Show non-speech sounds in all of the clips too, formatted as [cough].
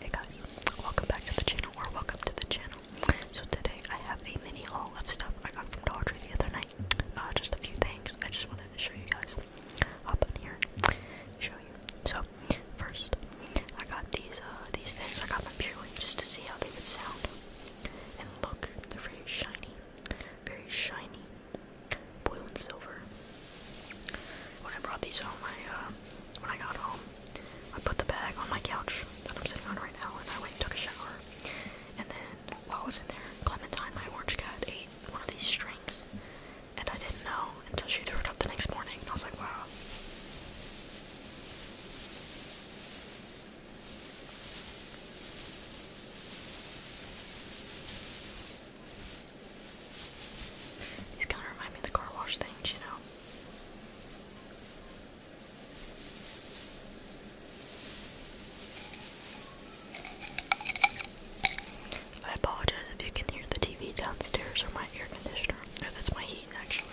Hey guys, welcome back to the channel, or welcome to the channel. So today I have a mini haul of stuff I got from Dollar Tree the other night. Uh, just a few things. I just wanted to show you guys. Hop on here, show you. So first, I got these uh, these things. I got them purely just to see how they would sound. And look, they're very shiny, very shiny, blue and silver. When I brought these home, I uh, when I got home, I put the bag on my couch that I'm sitting on right now, and I went and took a shower. And then while I was in there, Clementine, my orange cat, ate one of these strings, and I didn't know until she threw it up the next morning, and I was like, wow. These kind of remind me the car wash things, you know. I apologize if you can hear the TV downstairs or my air conditioner. No, that's my heat, actually.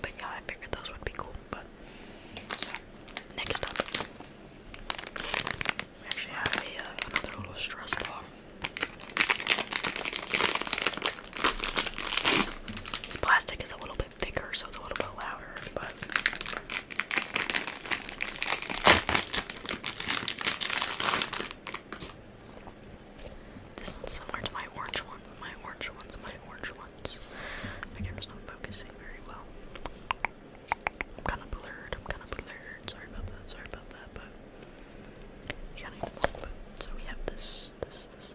But yeah, I figured those would be cool. But next up, we actually have uh, another little stress ball. This plastic is a little bit thicker, so it's a little bit louder, but. This one's similar to my orange one. my orange ones, my orange ones. My camera's not focusing very well. I'm kind of blurred. I'm kind of blurred. Sorry about that. Sorry about that. But you So we have this, this, this.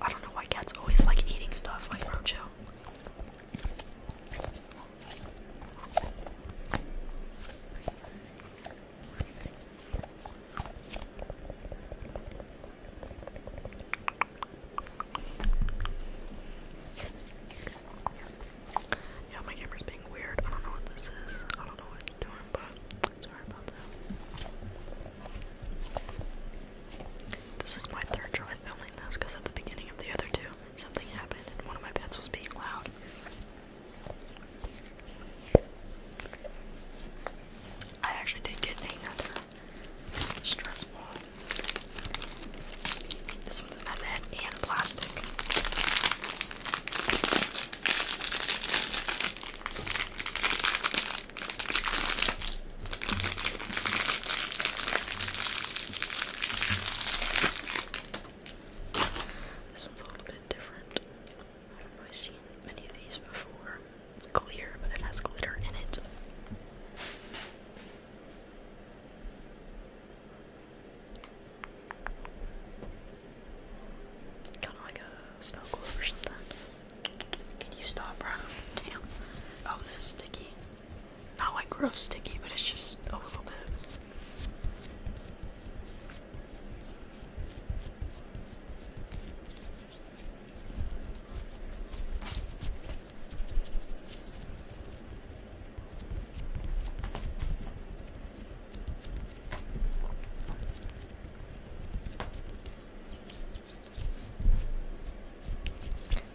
I don't know why cats always like eating stuff like bro Yeah, my camera's being weird. I don't know what this is. I don't know what it's doing, but this is my third try filming this because at the beginning of the other two, something happened and one of my pets was being loud. I actually did get another stress ball. This one's in my bed and plastic. This one's a little bit different. I don't seen many of these before. clear, but it has glitter in it. Kind of like a snow globe or can you stop, bro? Damn. Oh, this is sticky. Not like gross sticky, but it's just a little bit.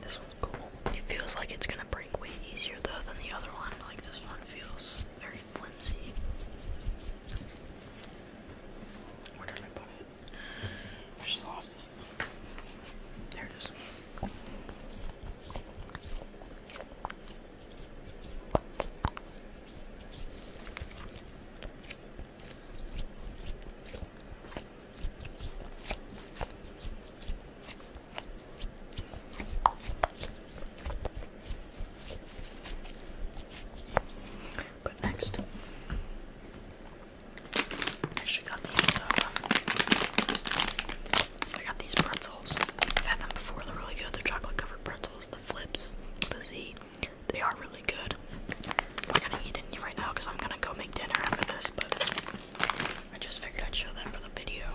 This one's cool. It feels like it's gonna break way easier though than the other one. Like this one feels very flimsy. Where did I put it? I just lost it. There it is. But next, actually got these. Uh, I got these pretzels. had them before. They're really good. They're chocolate covered pretzels the flips, the Z. They are really good. I'm gonna eat it right now because I'm gonna go make dinner after this, but I just figured I'd show that for the video.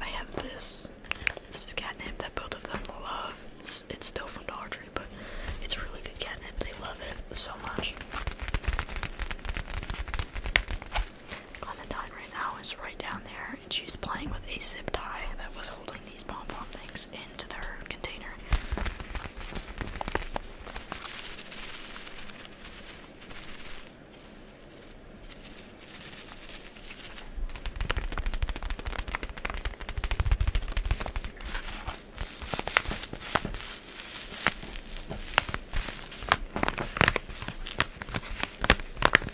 I have this. This is catnip that both of them love. It's, it's still from Dollar Tree, but it's really good catnip. They love it so much. Clementine right now is right down there her, and she was playing with a zip tie that was holding these pom pom things into their container.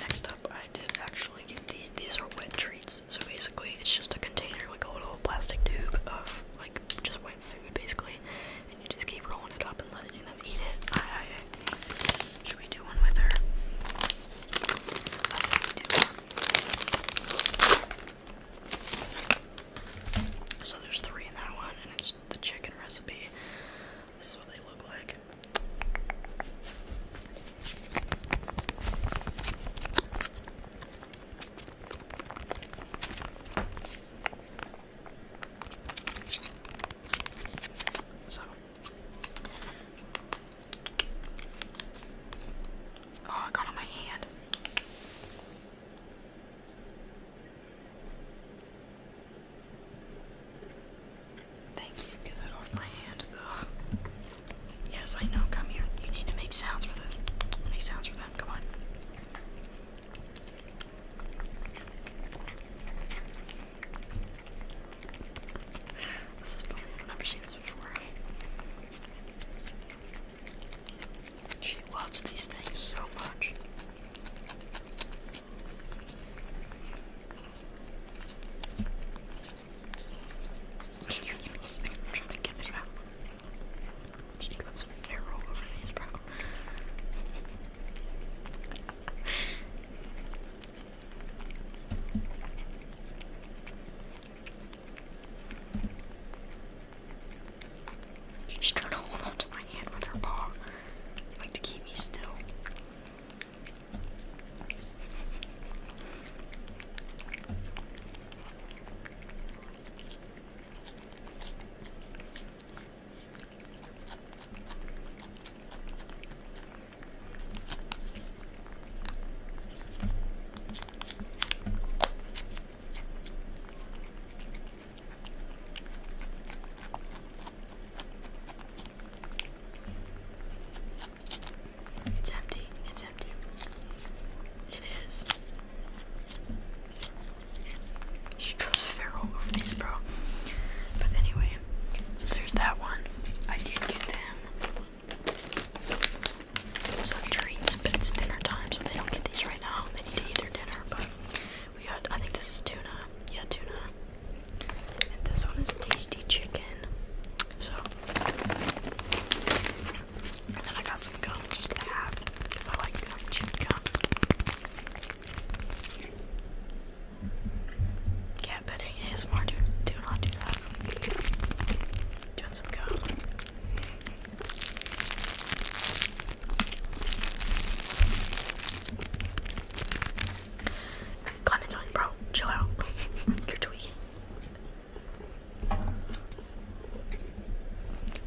Next up, I did actually get the, these are wet treats. So basically, it's just a container, like a little plastic tube of like just wet food, basically, and you just keep rolling it up and letting them eat it. should we do one with her? So there's three in that one, the chicken recipe. This is what they look like. So, oh, I got on my hand. Thank you. Get that off my hand. Yes, I know. Come here. You need to make sounds for them. Make sounds for them. Come on. This is funny. I've never seen this before. She loves these things so much. I'm trying to get this out. She got some narrow over these, bro. She's trying to hold onto my hand with her paw, like to keep me still. It's empty. It's empty. It is. She goes far over these, bro. But anyway, there's that one. I did get them some treats, but it's dinner time, so they don't get these right now. They need to eat their dinner, but we got, I think this is tuna. Yeah, tuna. this one is tasty chicken. So, and then I got some gum just to have, because I like gum, chicken gum. Cat bedding ASMR, do not do that. Doing some gum. Clementine, bro, chill out. [laughs] You're tweaking.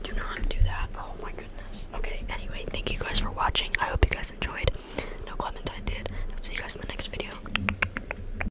Do not do that. Oh my goodness. Okay, anyway, thank you guys for watching. I hope you guys enjoyed. No Clementine did. I'll see you guys in the next video.